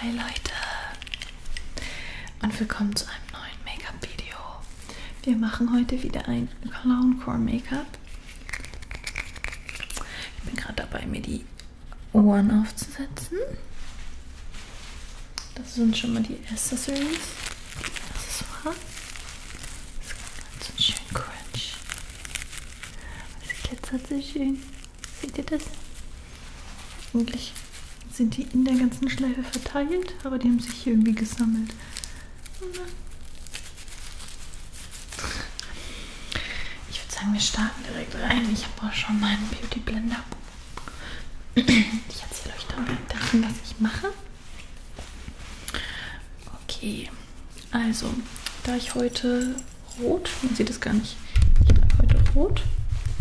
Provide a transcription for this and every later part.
Hi Leute und willkommen zu einem neuen Make-up-Video. Wir machen heute wieder ein Clown Core Make-up. Ich bin gerade dabei, mir die Ohren aufzusetzen. Das sind schon mal die Accessories. Accessoire. Das ist ganz schön crunch. Es glitzert so schön. Seht ihr das? Eigentlich sind die in der ganzen Schleife verteilt, aber die haben sich hier irgendwie gesammelt. Ich würde sagen, wir starten direkt rein. Ich habe auch schon meinen Beauty Blender. Ich erzähle euch dann davon, was ich mache. Okay, also da ich heute Rot. Man sieht es gar nicht. Ich trage heute Rot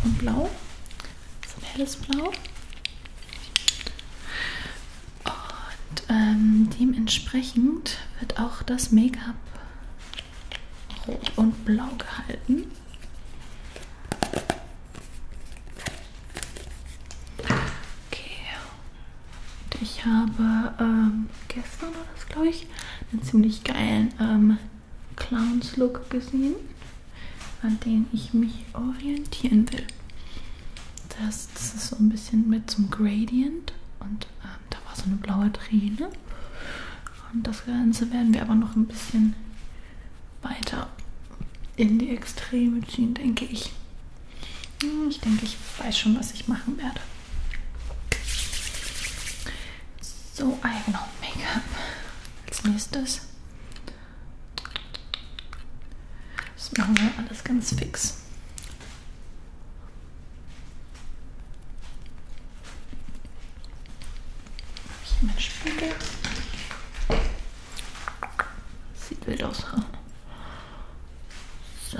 und Blau. So ein helles Blau. Und ähm, dementsprechend wird auch das Make-up rot und blau gehalten. Okay. Und ich habe ähm, gestern war das, glaube ich, ich einen ziemlich geilen ähm, Clowns-Look gesehen, an den ich mich orientieren will. Das, das ist so ein bisschen mit zum Gradient und ähm, da war so eine blaue Träne. Und das Ganze werden wir aber noch ein bisschen weiter in die Extreme ziehen, denke ich. Hm, ich denke, ich weiß schon, was ich machen werde. So, ah ja genau, Make-up. Als nächstes. Das machen wir alles ganz fix. Hier mein Spiegel. Sieht wild aus. So.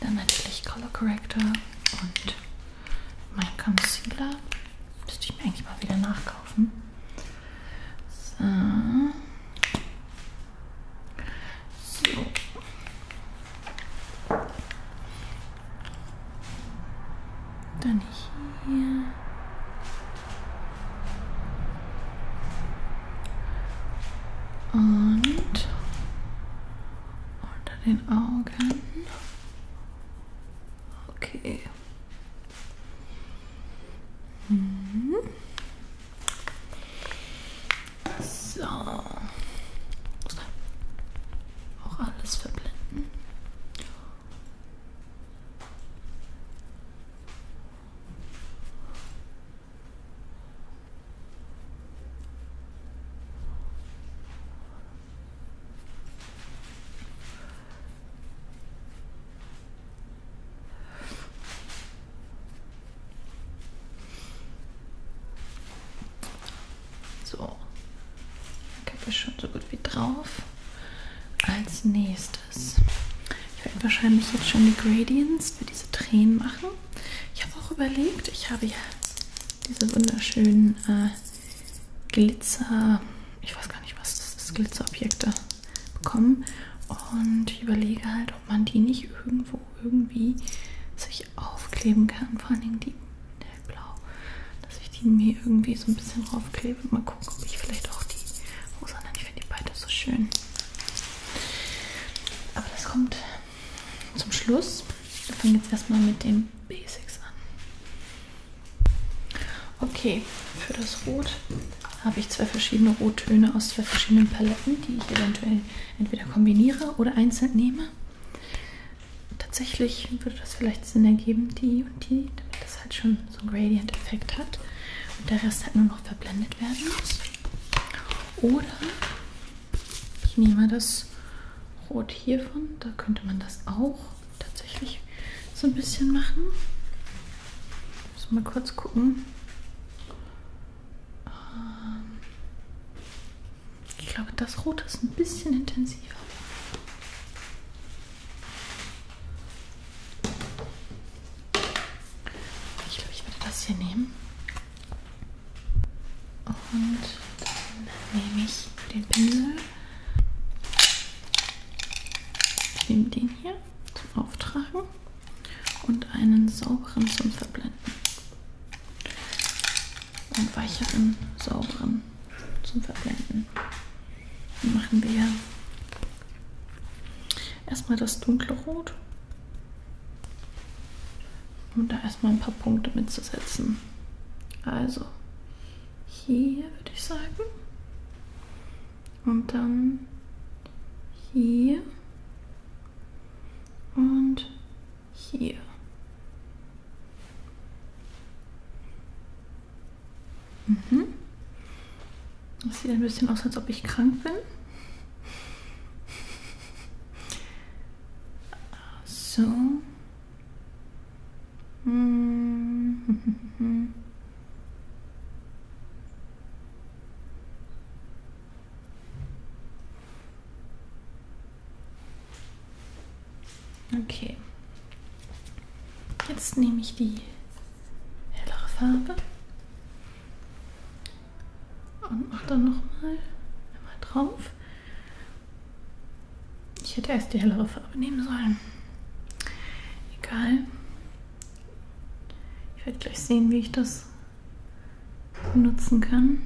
Dann natürlich Color Corrector und mein Concealer. Müsste ich mir eigentlich mal wieder nachkaufen. So. so. Dann hier. Und unter den Augen. Okay. Mhm. So. Auch alles verblenden. So, ich habe schon so gut wie drauf. Als nächstes ich werde wahrscheinlich jetzt schon die Gradients für diese Tränen machen. Ich habe auch überlegt, ich habe ja diese wunderschönen äh, Glitzer, ich weiß gar nicht, was das ist, Glitzerobjekte bekommen. Und ich überlege halt, ob man die nicht irgendwo irgendwie sich aufkleben kann. Vor allen Dingen die hellblau. Dass ich die mir irgendwie so ein bisschen draufklebe. Mal gucken, ob ich vielleicht auch die oh, rosa nenne. Ich finde die beide so schön. Aber das kommt zum Schluss. Wir fangen jetzt erstmal mit den Basics an. Okay, für das Rot habe ich zwei verschiedene Rottöne aus zwei verschiedenen Paletten, die ich eventuell entweder kombiniere oder einzeln nehme. Tatsächlich würde das vielleicht Sinn ergeben, die und die, damit das halt schon so einen Gradient-Effekt hat und der Rest halt nur noch verblendet werden muss. Oder ich nehme das Rot hiervon. Da könnte man das auch tatsächlich so ein bisschen machen. Muss mal kurz gucken. Ähm, ich glaube, das Rot ist ein bisschen intensiver. Ich glaube, ich werde das hier nehmen. Und dann nehme ich den Pinsel. Ich nehme den hier zum Auftragen und einen sauberen zum Verblenden. Und weicheren, sauberen zum Verblenden. Den machen wir Erstmal das dunkle Rot. Um da erstmal ein paar Punkte mitzusetzen. Also hier würde ich sagen. Und dann hier. Und hier. Mhm. Das sieht ein bisschen aus, als ob ich krank bin. So. Mm. Okay. Jetzt nehme ich die hellere Farbe und mach dann nochmal einmal drauf. Ich hätte erst die hellere Farbe nehmen sollen. Egal. Ich werde gleich sehen, wie ich das benutzen kann.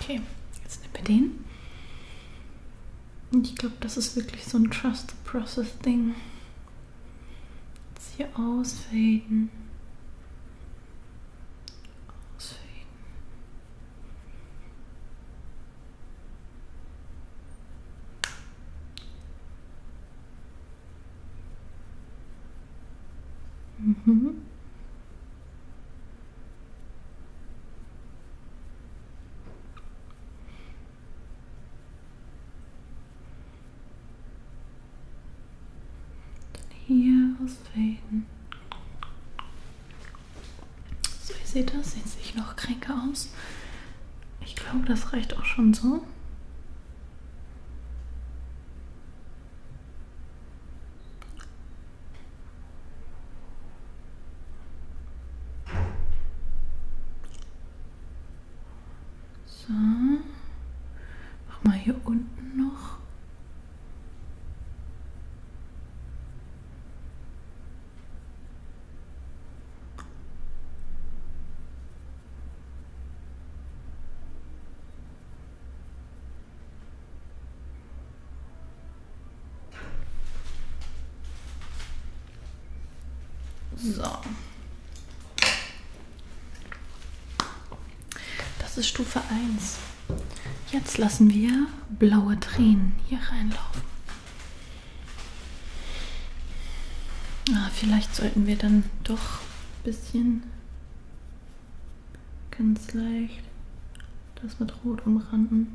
Okay, jetzt nehmen wir den. Und ich glaube, das ist wirklich so ein Trust the Process Ding. Jetzt hier ausfaden. Ausfaden. Mhm hier ausfaden. So, ihr seht das, jetzt sehe ich noch kränker aus. Ich glaube, das reicht auch schon so. So. Mach mal hier unten noch. So. Das ist Stufe 1. Jetzt lassen wir blaue Tränen hier reinlaufen. Ah, vielleicht sollten wir dann doch ein bisschen ganz leicht das mit Rot umranden.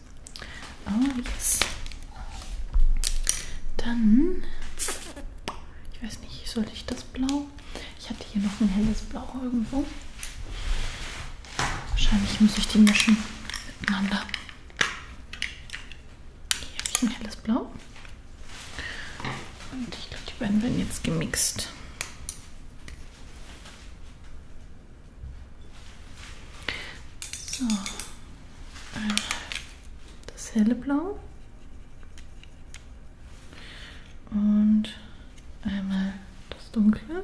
Oh yes. Dann, ich weiß nicht, sollte ich das Blau? Ich hatte hier noch ein helles Blau irgendwo. Wahrscheinlich muss ich die mischen miteinander. Hier habe ich ein helles Blau. Und ich glaube, die beiden werden jetzt gemixt. So, einmal äh, das helle Blau und einmal das dunkle.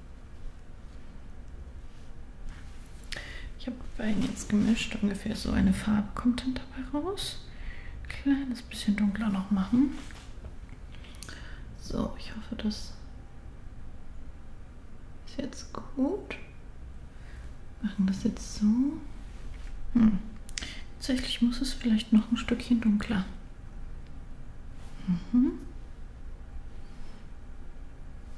Ich habe die beiden jetzt gemischt, ungefähr so eine Farbe kommt dann dabei raus. Kleines bisschen dunkler noch machen. So, ich hoffe, das ist jetzt gut. Machen das jetzt so. Hm. Tatsächlich muss es vielleicht noch ein Stückchen dunkler. Mhm.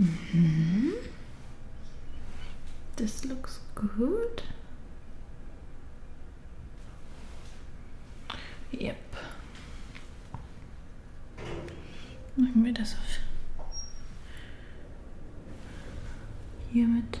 Mm-hmm. This looks good. Yep. Machen wir das auf. Hiermit.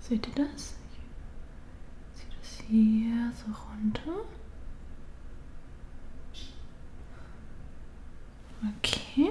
Seht ihr das? Ich ziehe das hier so runter. Okay.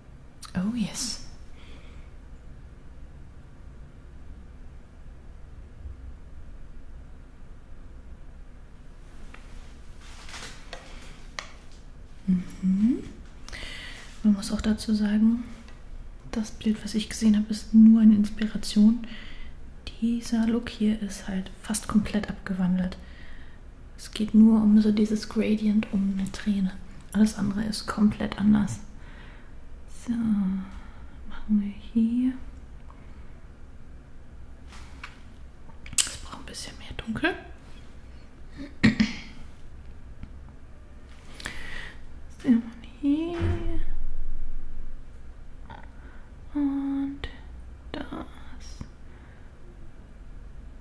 Oh, yes. Mhm. Man muss auch dazu sagen, das Bild, was ich gesehen habe, ist nur eine Inspiration. Dieser Look hier ist halt fast komplett abgewandelt. Es geht nur um so dieses Gradient, um eine Träne. Alles andere ist komplett anders. So, machen wir hier. Es braucht ein bisschen mehr Dunkel. So, hier. Und das.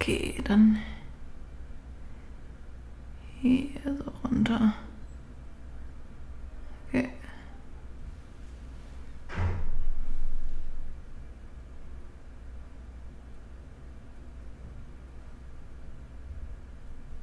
Okay, dann hier so runter. Okay.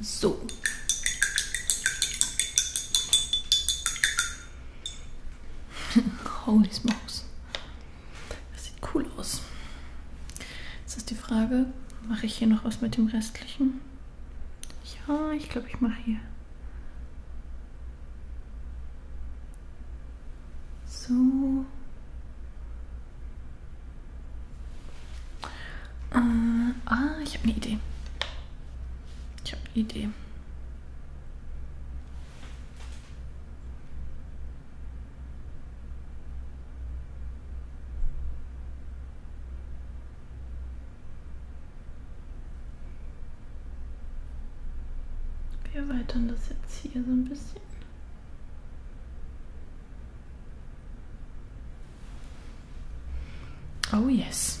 So. Holy smokes. Das sieht cool aus. Jetzt ist die Frage, mache ich hier noch was mit dem restlichen? Ja, ich glaube, ich mache hier. So. Äh, ah, ich habe eine Idee. Ich habe eine Idee. Wir erweitern das jetzt hier so ein bisschen. Oh yes.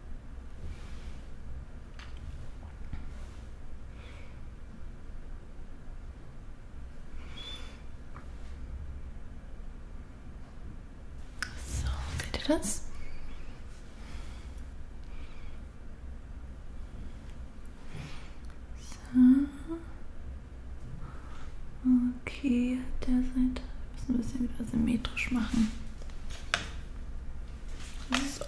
So, seht ihr das? Okay, der Seite müssen wir es ja wieder symmetrisch machen. So.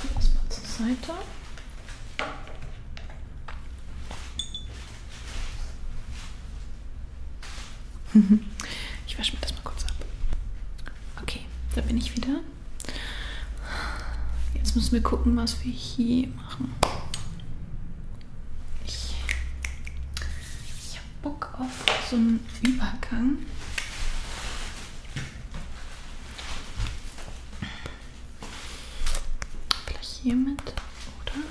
Das mal zur Seite. Ich wasche mir das mal kurz ab. Okay, da bin ich wieder. Jetzt müssen wir gucken, was wir hier machen. Ich, ich habe Bock auf so einen Übergang. Vielleicht hiermit, oder?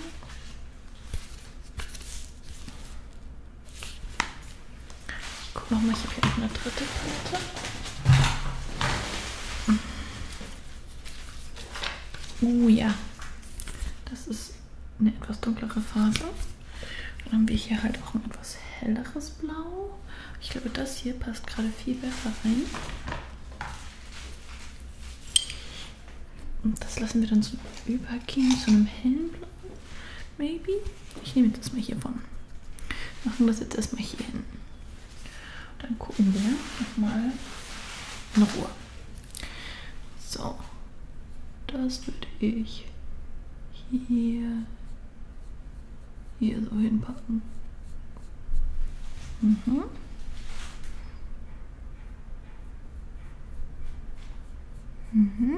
Ich guck nochmal, ich habe hier noch eine dritte Palette. Oh ja, das ist eine etwas dunklere Farbe. Dann haben wir hier halt auch ein etwas helleres Blau. Ich glaube, das hier passt gerade viel besser rein. Und das lassen wir dann so übergehen zu einem hellen Blau. Maybe? Ich nehme das mal hier von. Machen das jetzt erstmal hier hin. Dann gucken wir nochmal in Ruhe. So, das würde ich hier, hier so hinpacken. Mhm. Mhm.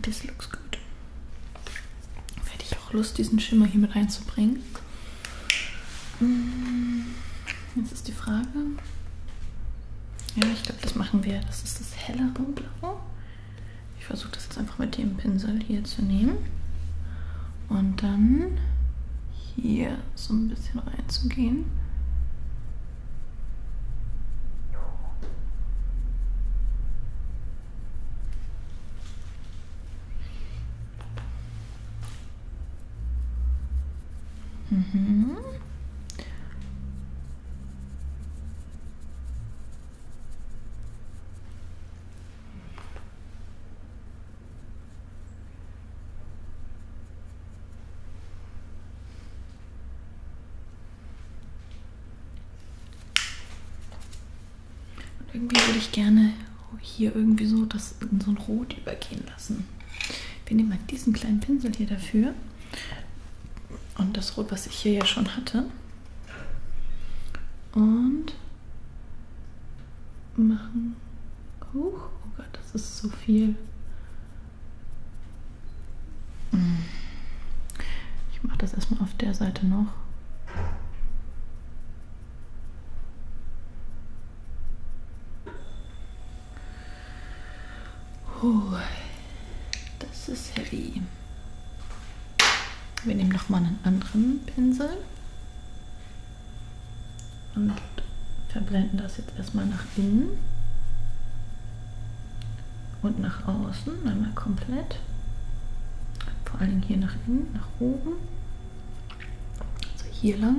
Das looks gut. Hätte ich auch Lust, diesen Schimmer hier mit reinzubringen. Mm, jetzt ist die Frage. Ja, ich glaube, das machen wir. Das ist das hellere Blau. Ich versuche das jetzt einfach mit dem Pinsel hier zu nehmen und dann hier so ein bisschen reinzugehen. Mhm. Und irgendwie würde ich gerne hier irgendwie so das in so ein Rot übergehen lassen. Wir nehmen mal halt diesen kleinen Pinsel hier dafür. Und das Rot, was ich hier ja schon hatte, und machen hoch. Oh Gott, das ist so viel. Ich mache das erstmal auf der Seite noch. Oh, das ist heavy. Wir nehmen nochmal einen anderen Pinsel und verblenden das jetzt erstmal nach innen und nach außen, einmal komplett. Vor allen Dingen hier nach innen, nach oben, also hier lang.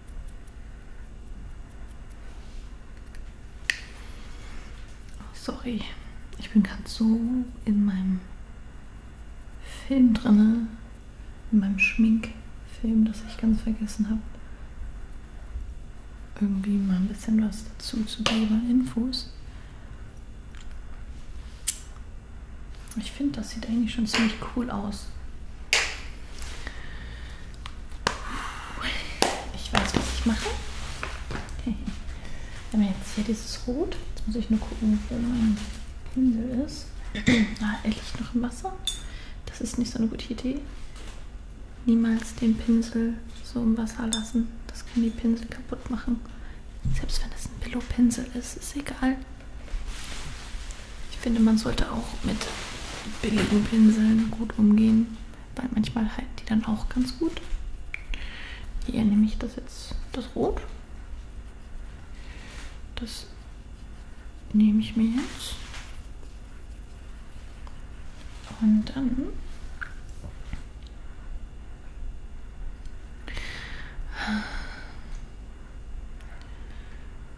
Oh, sorry, ich bin gerade so in meinem Film drinne, in meinem Schminkfilm, dass ich ganz vergessen habe, irgendwie mal ein bisschen was dazu zu geben, Infos. Ich finde, das sieht eigentlich schon ziemlich cool aus. Ich weiß, was ich mache. Okay. Wir haben jetzt hier dieses Rot. Jetzt muss ich nur gucken, wo mein Pinsel ist. Ah, er liegt noch im Wasser. Das ist nicht so eine gute Idee. Niemals den Pinsel so im Wasser lassen. Das kann die Pinsel kaputt machen. Selbst wenn es ein Billo-Pinsel ist, ist egal. Ich finde, man sollte auch mit billigen Pinseln gut umgehen, weil manchmal halten die dann auch ganz gut. Hier nehme ich das jetzt, das Rot. Das nehme ich mir jetzt. Und dann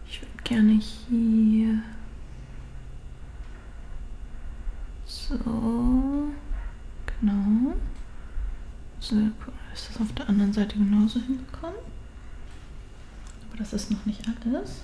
ich würde gerne hier. So. Genau. So, ist das auf der anderen Seite genauso hinbekommen. Aber das ist noch nicht alles.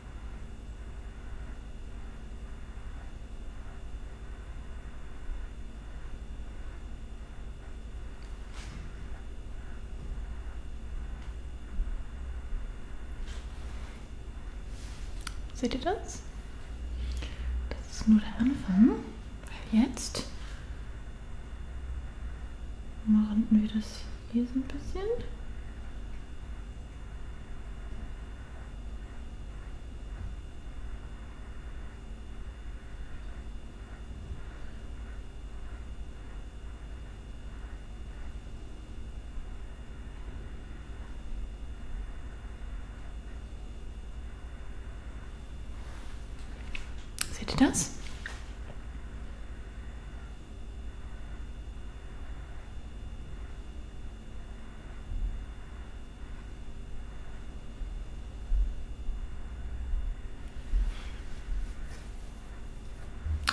Seht ihr das? Das ist nur der Anfang. Jetzt machen wir das hier so ein bisschen. Seht ihr das?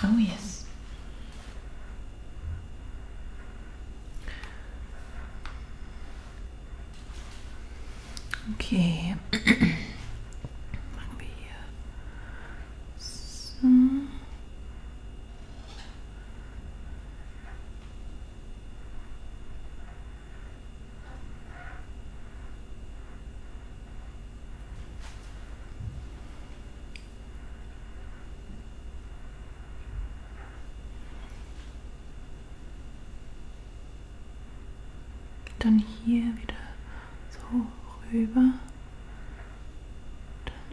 Oh, yes. Okay. Uh, so, Dann hier wieder so rüber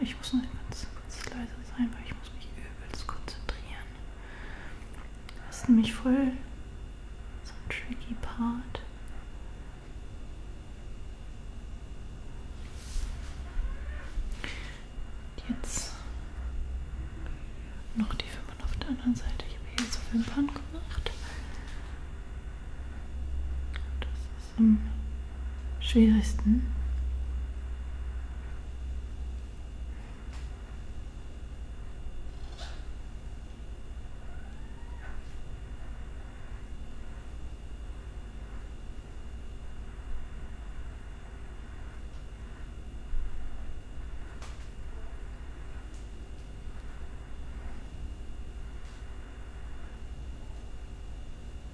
ich muss nur ganz, ganz leise sein, weil ich muss mich übelst konzentrieren. Das ist nämlich voll so ein tricky Part. Jetzt noch die Wimpern auf der anderen Seite. Ich habe hier so Wimpern gemacht. Das ist im schwierigsten.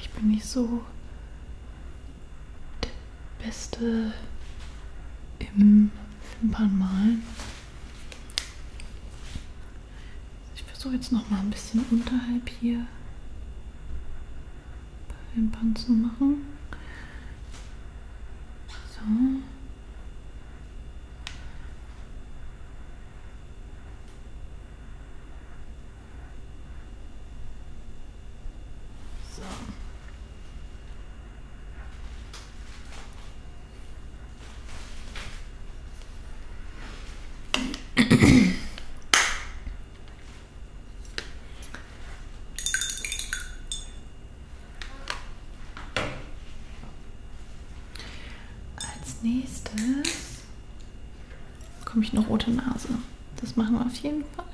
Ich bin nicht so der Beste im Wimpernmalen. Ich versuche jetzt noch mal ein bisschen unterhalb hier bei Wimpern zu machen. So. So. Als nächstes bekomme ich eine rote Nase. Das machen wir auf jeden Fall.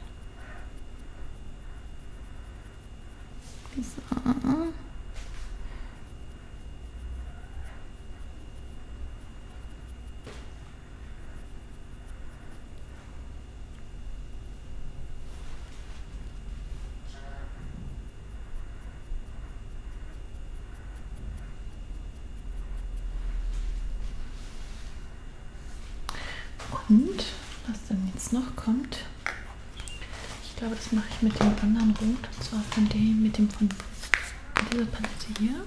So. Und was dann jetzt noch kommt, ich glaube, das mache ich mit dem anderen Rot, und zwar von dem, mit dem von dieser Palette hier.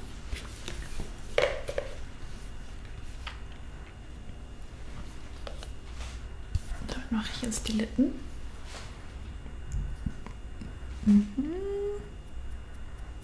Damit mache ich jetzt die Lippen. Mhm.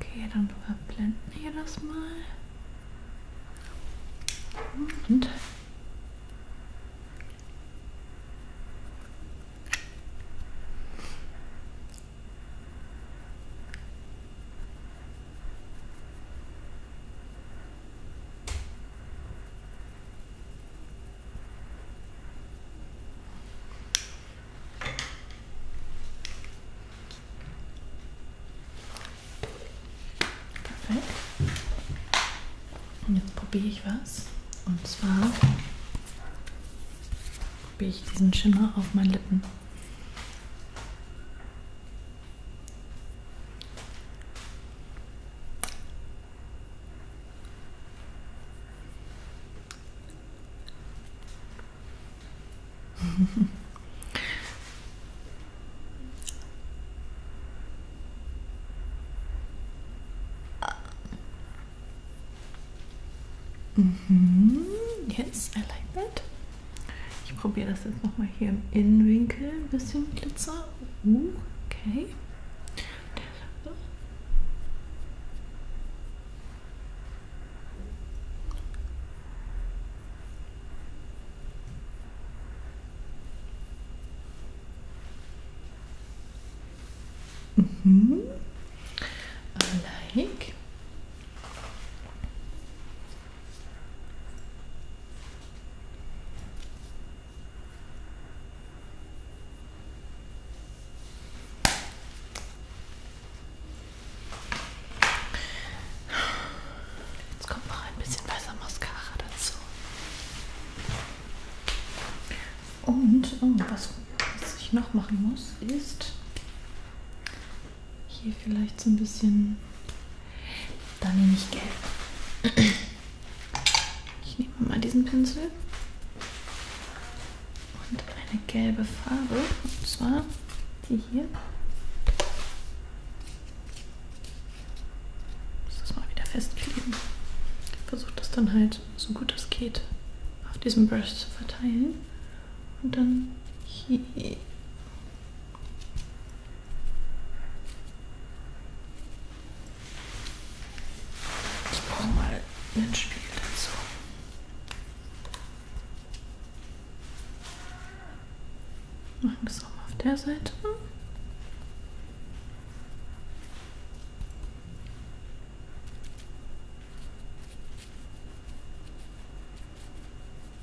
Okay, dann verblenden wir das mal. Und Perfekt. Und jetzt probiere ich was. Und zwar probiere ich diesen Schimmer auf meinen Lippen. Mm -hmm. Yes, I like that. Ich probiere das jetzt nochmal hier im Innenwinkel. Ein bisschen Glitzer. Uh, okay. Mhm. Like. Jetzt kommt noch ein bisschen weißer Mascara dazu. Und oh, was, was ich noch machen muss, ist hier vielleicht so ein bisschen. Da nehme ich gelb. Ich nehme mal diesen Pinsel und eine gelbe Farbe, und zwar die hier. Ich muss das mal wieder festkleben. Ich versuche das dann halt so gut es geht auf diesem Brush zu verteilen und dann hier ich brauche mal einen Spiegel dazu. Machen wir es auch mal auf der Seite.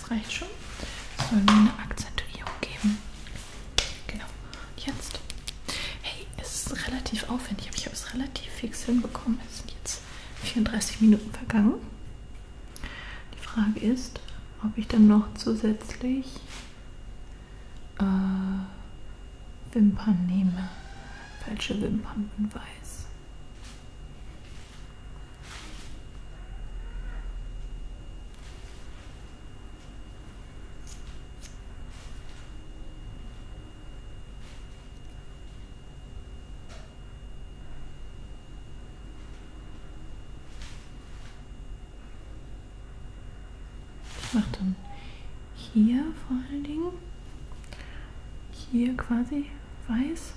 das reicht schon. Es soll mir eine Akzentuierung geben. Genau. Und jetzt. Hey, es ist relativ aufwendig, aber ich habe es relativ fix hinbekommen. Es sind jetzt 34 Minuten vergangen. Die Frage ist, ob ich dann noch zusätzlich äh, Wimpern nehme. Falsche Wimpern in weiß mache dann hier vor allen Dingen, hier quasi weiß.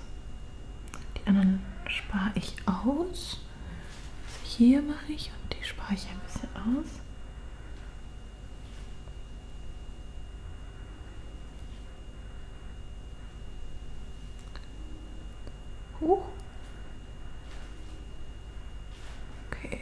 Die anderen spare ich aus. Also hier mache ich und die spare ich ein bisschen aus. Hoch. Okay.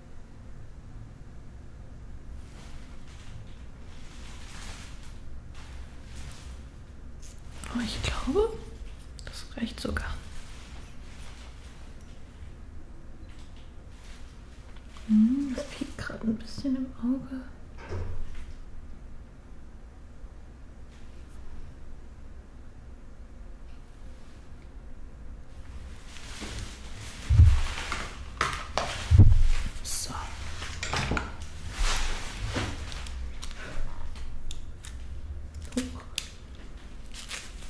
Oh, ich glaube, das reicht sogar. Hm, das piekt gerade ein bisschen im Auge. So.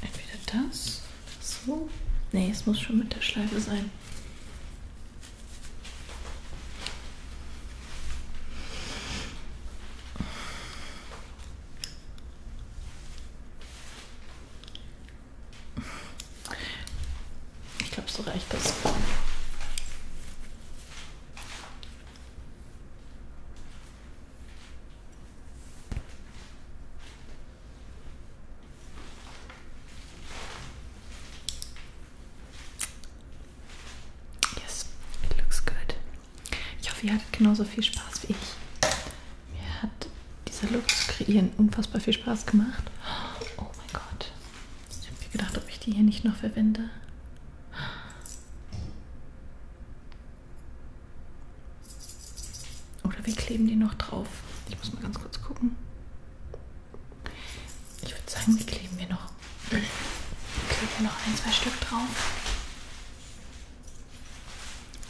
Entweder das, so. Nee, es muss schon mit der Schleife sein. Ich glaube, so reicht das. Yes, it looks good. Ich hoffe, ihr hattet genauso viel Spaß wie ich. Mir hat dieser Look zu kreieren unfassbar viel Spaß gemacht. Oh mein Gott. Ich habe mir gedacht, ob ich die hier nicht noch verwende. Oder wir kleben die noch drauf. Ich muss mal ganz kurz gucken. Ich würde sagen, die kleben wir noch. Kleben wir noch ein, zwei Stück drauf.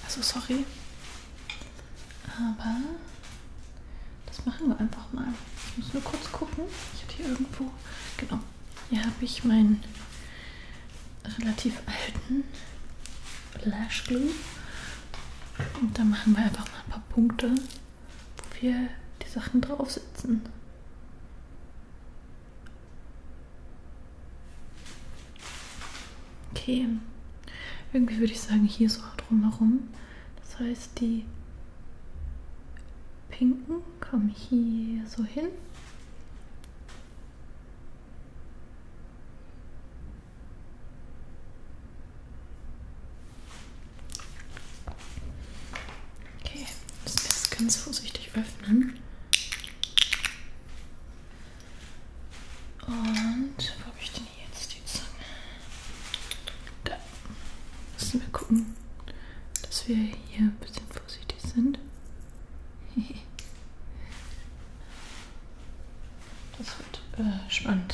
Also sorry. Aber das machen wir einfach mal. Ich muss nur kurz gucken. Ich hatte hier irgendwo. Genau. Hier habe ich meinen relativ alten Lash Glue. Und da machen wir einfach mal ein paar Punkte, wo wir die Sachen draufsetzen. Okay. Irgendwie würde ich sagen, hier so drumherum. Das heißt, die pinken kommen hier so hin. Okay, das ganz vorsichtig öffnen. Und wo habe ich denn jetzt die Zange? Da. Müssen wir gucken, dass wir hier ein bisschen vorsichtig sind. Das wird äh, spannend.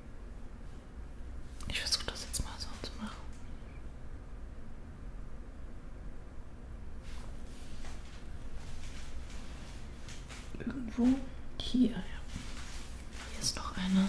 Ich versuche das jetzt mal so zu machen. Irgendwo hier, ja. Hier ist noch einer.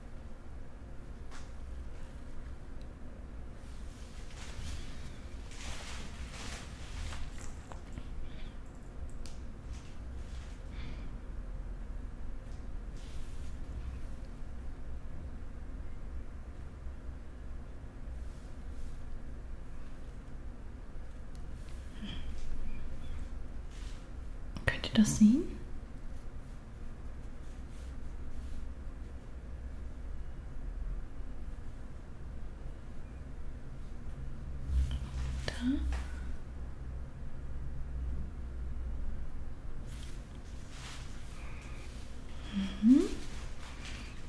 Könnt ihr das sehen? Da. Mhm.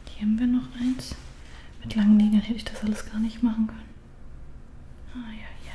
Hier haben wir noch eins. Mit langen Nägeln hätte ich das alles gar nicht machen können. Ah ja, hier.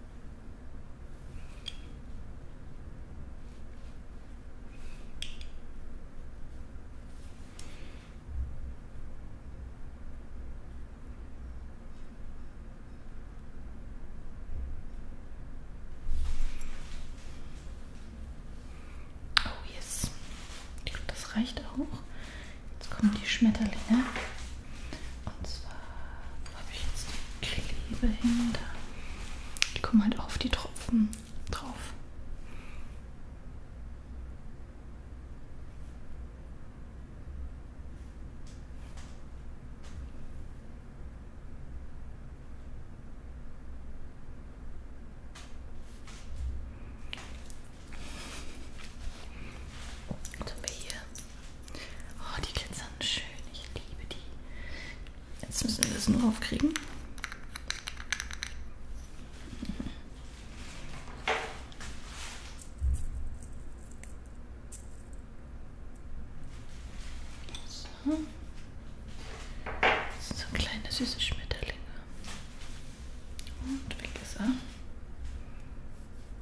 Oh yes. Ich glaube, das reicht auch. Jetzt kommen die Schmetterlinge. Und zwar habe ich jetzt die Klebe hinter. Die kommen halt auf die Tropfen drauf. Jetzt haben wir hier Oh, die glitzern schön. Ich liebe die. Jetzt müssen wir das nur aufkriegen. So. Das sind so kleine süße Schmetterlinge. Und weg ist er.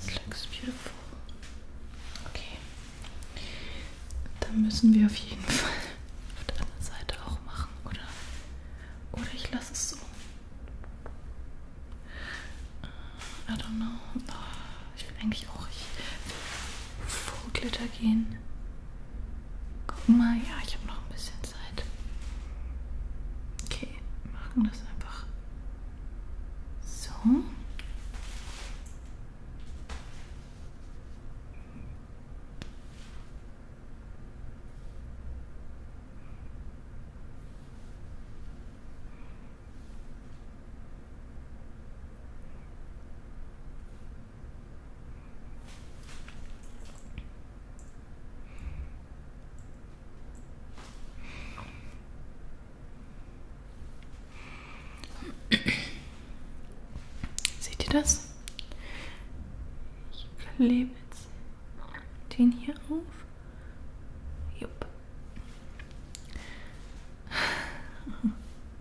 This looks beautiful. Okay. Dann müssen wir auf jeden Fall auf der anderen Seite auch machen, oder? Oder ich lasse es so. Äh, I don't know. Ah, ich will eigentlich auch. Ich Glitter gehen. Guck mal, ja, ich habe noch ein bisschen Zeit. Okay, machen wir das einfach so. Seht ihr das? Ich klebe jetzt den hier auf. Jupp.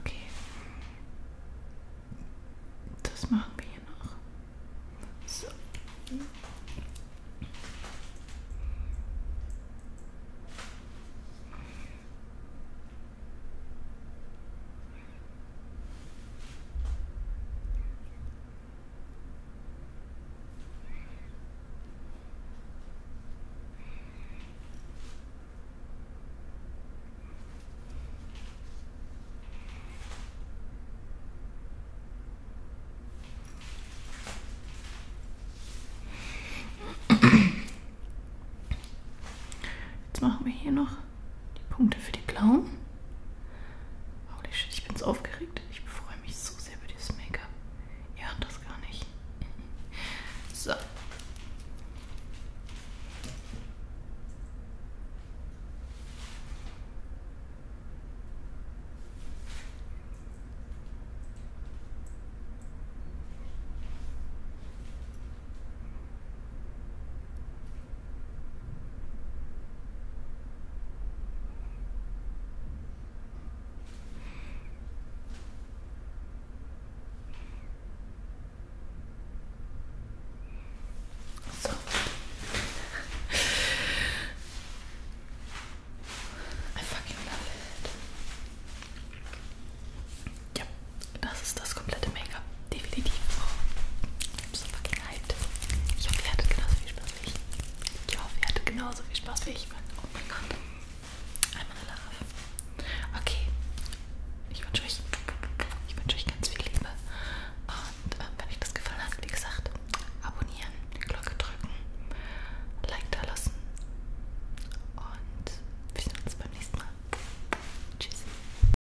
Okay. Das machen wir hier noch. So. Jetzt machen wir hier noch die Punkte für die blauen. Holy shit, ich bin so aufgeregt. Ich freue mich so sehr über dieses Make-up. Ihr habt das gar nicht. So. So I fucking love it. Yep, Das ist das komplette Make-up. Definitiv. Oh, ich so fucking hyped. Ich hoffe, ihr hattet genauso viel Spaß wie ich. Ich hoffe, ihr hattet genauso viel Spaß wie ich. Oh mein Gott. Einmal love. Okay. Ich wünsche euch, ich wünsche euch ganz viel Liebe. Und äh, wenn euch das gefallen hat, wie gesagt, abonnieren, Glocke drücken, Like da lassen. Und wir sehen uns beim nächsten Mal. Tschüss.